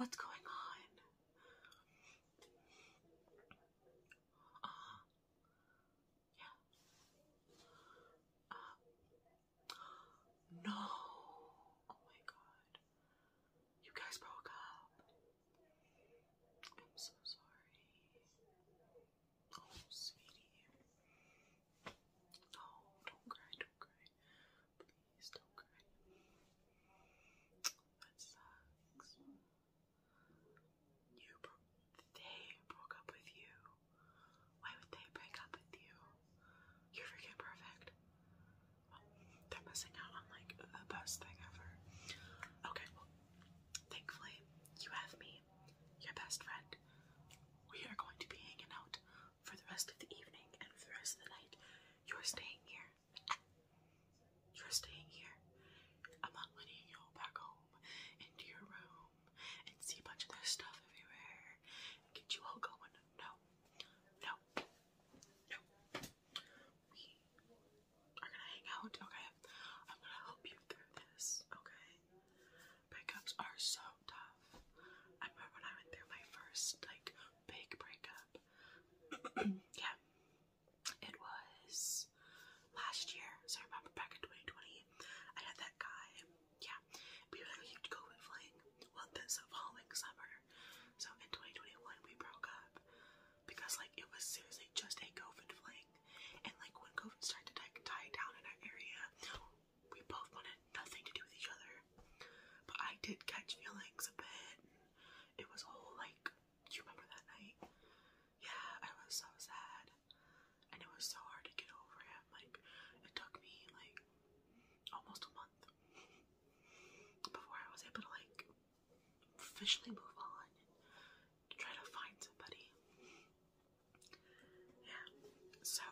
What's going on? Uh, yeah. Uh, no. Oh my god. You guys broke up. I'm so sorry. Oh, sweetie. No, don't cry, don't cry. Please don't cry. That sucks. You bro they broke up with you. Why would they break up with you? You're freaking perfect. they're missing out on like the best thing ever. Okay, well, thankfully, you have me, your best friend. We are going to be hanging out for the rest of the evening and for the rest of the night. You're staying here. You're staying here. I'm not letting you go back home into your room and see a bunch of their stuff everywhere and get you all going. No, no, no, no. We are gonna hang out, okay? I'm gonna help you through this, okay? Breakups are so tough. I remember when I went through my first, like, big breakup. yeah. It was last year, so I remember back in 2020, I had that guy yeah, we really need to go with flying. Well, this following summer. So in 2021, we broke up because like it was seriously just a COVID fling, and like when COVID started to die down in our area, we both wanted nothing to do with each other. But I did catch feelings a bit. And it was all like, you remember that night? Yeah, I was so sad. And it was so hard to get over him. Like, it took me like almost a month before I was able to like officially move on and try to find somebody. Yeah, so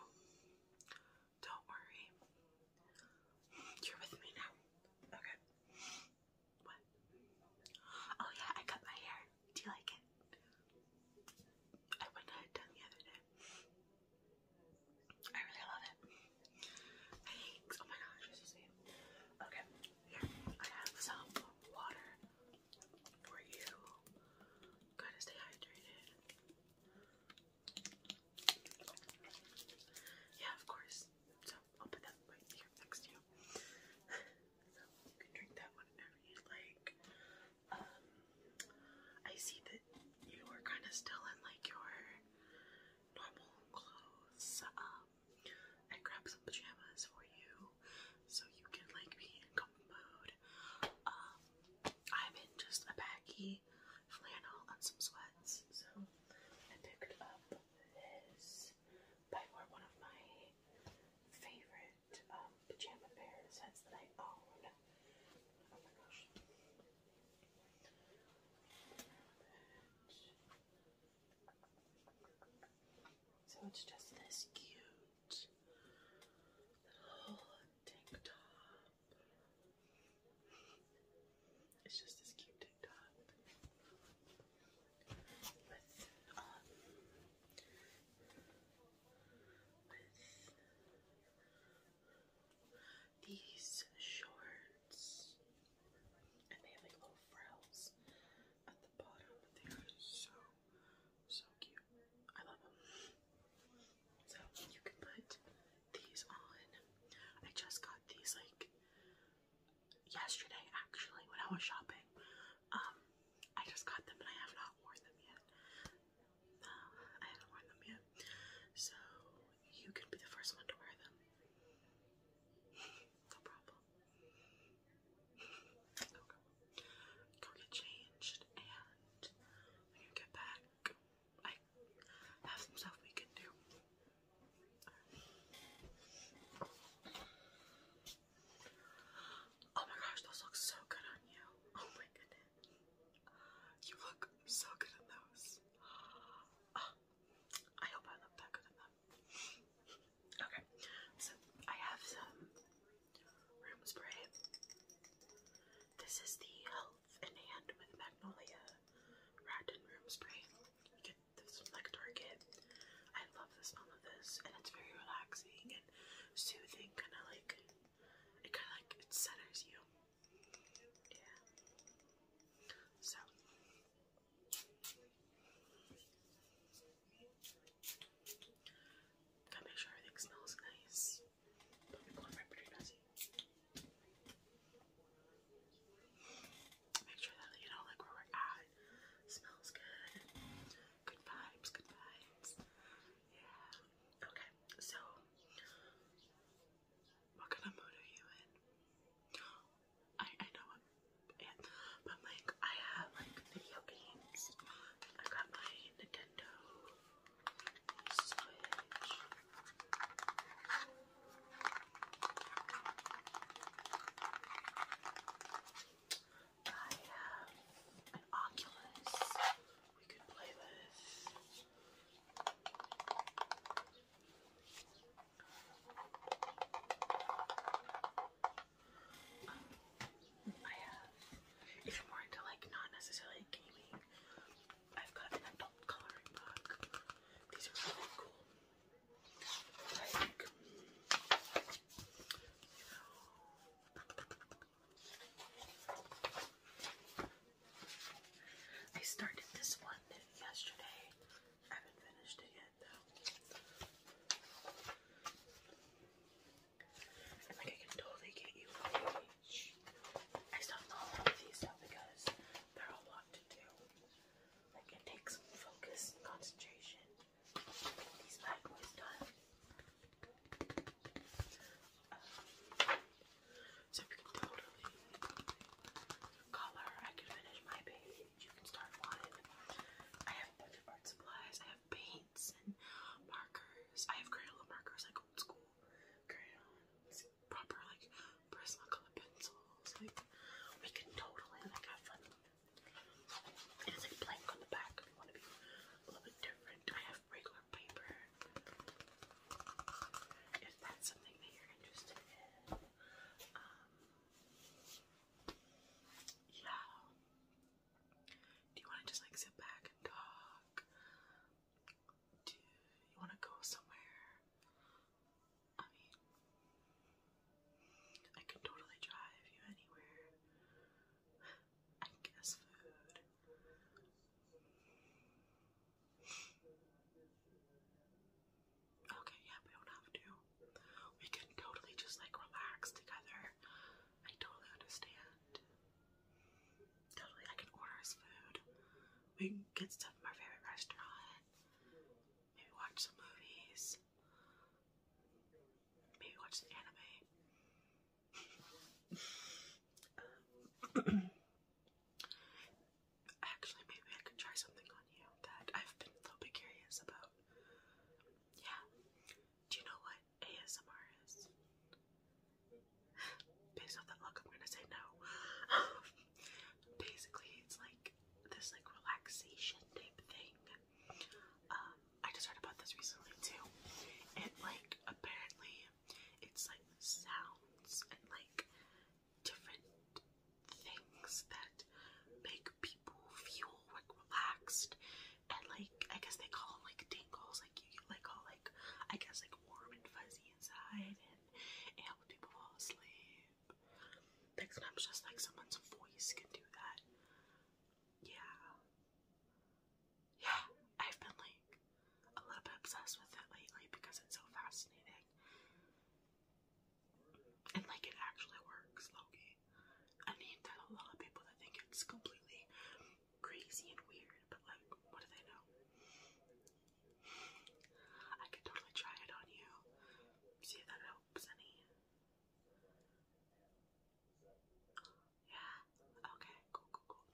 don't worry. You're with me now. Okay. What? Oh yeah, I cut my hair. Do you like it? I went to done the I really love it. Thanks. Oh my gosh, Okay, I have some water for you. Gotta stay hydrated. Yeah, of course. So I'll put that right here next to you. so you can drink that whenever you like. Um, I see that you were kind of still in like your normal clothes. I um, grabbed some pajamas for you so you can like be in comfy mode. Um, I'm in just a baggy flannel and some sweats, so I picked up this by far one of my favorite. Um, um, pajama pair sets that I own. Oh my gosh. So it's just this cute little tank top. It's just this cute tank top with um with these shorts, and they have like little frills at the bottom. They are so so cute. I love them. So you can put these on. I just got these like yesterday, actually, when I was shopping. Um, I just got them and I have not worn them yet. Um, I haven't worn them yet, so you can be the first one to wear them. no problem. Okay. Go get changed, and when you get back, I have some stuff we can do. Oh my gosh, those look so good on you. Oh my goodness. You look so good in those. Ah, I hope I look that good in them. Okay, so I have some room spray. This is the Health in Hand with Magnolia Radon Room Spray. You get this from like I love the smell of this, and it's very relaxing and soothing, kind of like it kind of like it centers you. Yeah. So. Gotta make sure everything smells nice. Make sure that you know, like where we're at, smells good. Good vibes, good vibes. Okay, so what kind of mood are you in? I I know I'm in, but like I have like video games. I got my Nintendo Switch. I have an Oculus we could play with. I have, if you more into like not necessarily gaming, I've got an adult coloring book. These are really cool. I started this one yesterday. I haven't finished it yet though. like I can totally get you I stopped all of these though because they're a lot to Like it takes focus and concentration. Um, so we can totally color. I can finish my page. You can start one. I have art supplies. I have paints and markers. I have crayola markers, like old school crayons. Proper like Prismacolor pencils. Like we can totally have fun it has blank on the back. If want to be a little bit different, I have regular paper. If that's something that you're interested in, um, yeah. Do you want to just like sit back and talk? Do you want to go somewhere? I mean, I could totally drive you anywhere. I guess food. Okay, yeah, we don't have to. We can totally just like relax together. I totally understand. Totally, I can order us food. We can get stuff from our favorite restaurant. Maybe watch some movies. Maybe watch an anime. Um, actually, maybe I could try something on you that I've been a little curious about. Yeah. Do you know what ASMR is? Based off that look, I'm gonna say no. Basically, it's like this like relaxation type thing. Um, I just heard about this recently too. It like apparently it's like sounds and like different things that make people feel like relaxed and like I guess they call them like tingles, like you get like all like I guess like warm and fuzzy inside and it helps people fall asleep. Like sometimes just like someone's voice can do that. Yeah. Yeah, I've been like a little bit obsessed with it lately because it's so fascinating. And like it actually works, Loki. I mean, there's a lot of people that think it's completely crazy and weird, but like, what do they know? I could totally try it on you, see if that helps any. Yeah. Okay. Cool. Cool. Cool.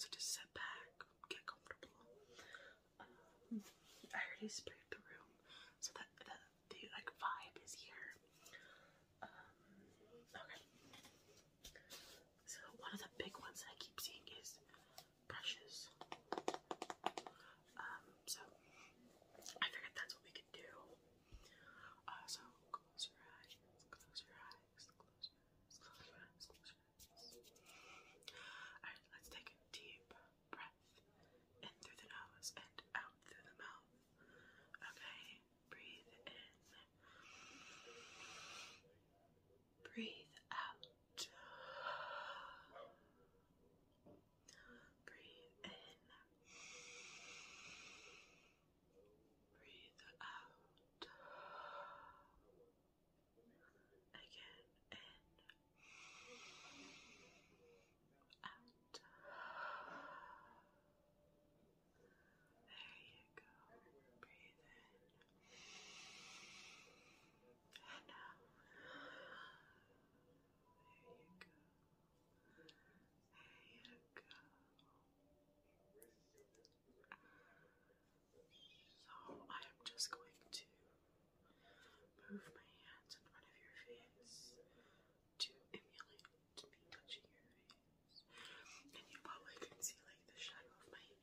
So just sit back, get comfortable. Um, I already sprayed the room, so that the like vibe is here. Um, okay. So one of the big ones that I keep seeing is brushes. Um. So I figured that's what we could do. Uh, so close your eyes, close your eyes, close your eyes, close your eyes, close your eyes. Alright, let's take a deep breath in through the nose and out through the mouth. Okay, breathe in, breathe out. Breathe in. Breathe out. Again, in. Out. There you go. Breathe in. And out. There you go you So I am just going to move my hands in front of your face to emulate me touching your face. And you probably can see like the shadow of my light.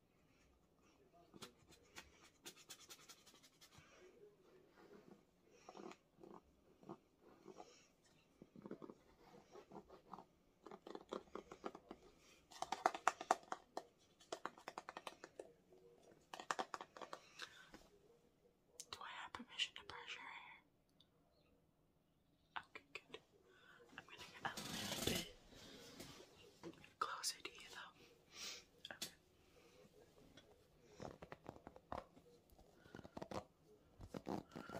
Do I have permission to brush your hair? Okay, good. I'm gonna get a little bit closer to you though. Okay.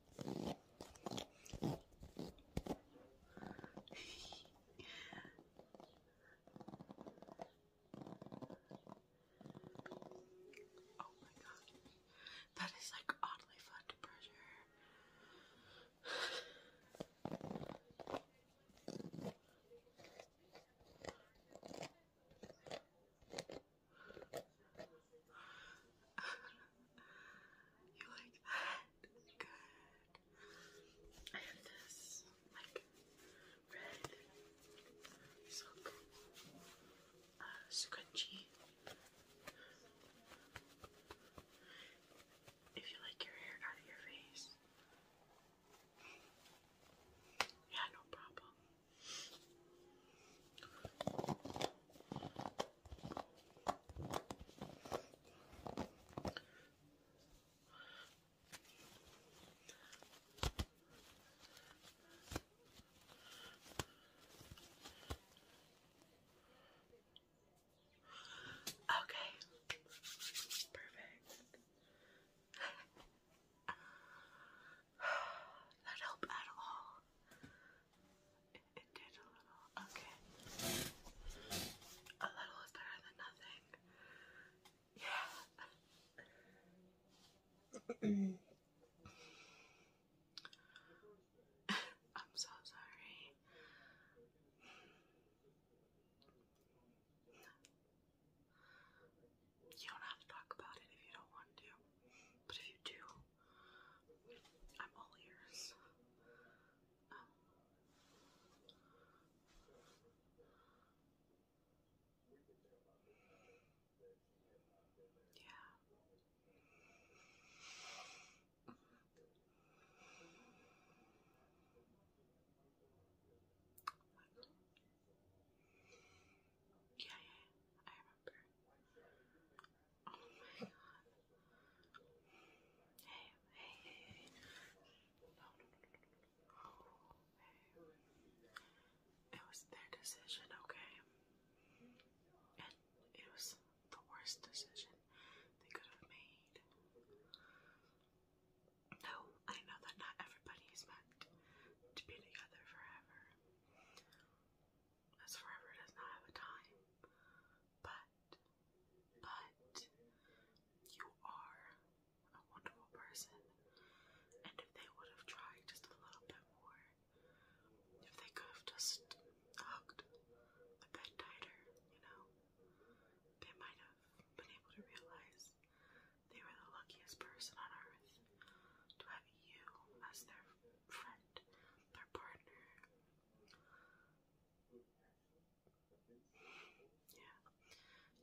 oh my god. That is like oddly fun to pressure you like that? Good. I this, like, red, silk, uh, scrunchie. If you like your hair out of your face. Yeah, no problem. Okay. Perfect. that helped at all. It, did a little. Okay. A little is better than nothing. Yeah. I'm so sorry. You don't have to talk about it if you don't want to. But if you do, I'm all ears. yeah. Yeah, yeah, Oh my god. Hey, hey, hey, hey. It was their decision, okay? And it was the worst decision they could have made. No, I know that not everybody is meant to be together forever as forever does not have a time. But, but, you are a wonderful person. And if they would have tried just a little bit more, if they could have just hugged the bed tighter, you know, they might have been able to realize they were the luckiest person on earth to have you as their friend their partner. Yeah.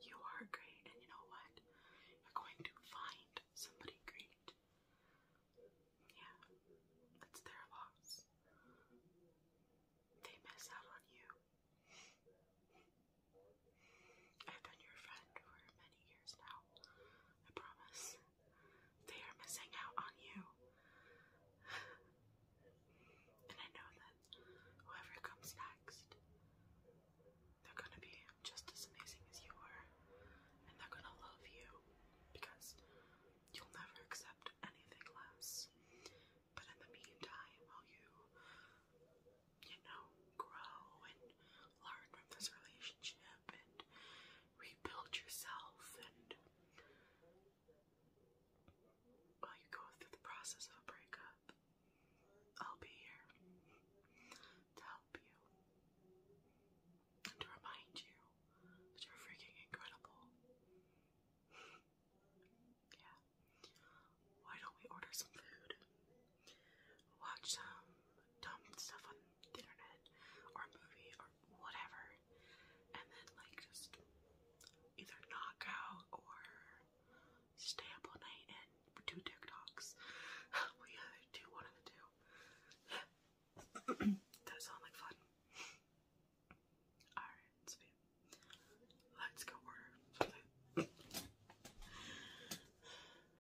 You are great, and you know what? You're going to find somebody great. Yeah. It's their loss. They miss out on you. I've been your friend for many years now. I promise. They are missing out on you. and I know that whoever comes next, they're gonna be just as amazing as you were. And they're gonna love you because you'll never accept anything less. But in the meantime, while you, you know, grow and learn from this relationship, up and rebuild yourself and while you go through the process of a breakup, I'll be here to help you and to remind you that you're freaking incredible. yeah. Why don't we order some food? watch some dumb stuff on the internet or a movie or whatever, and then like just either knock out or stay up all night and do TikToks. we either do one of the two. that sounds like fun. Alright, let's go order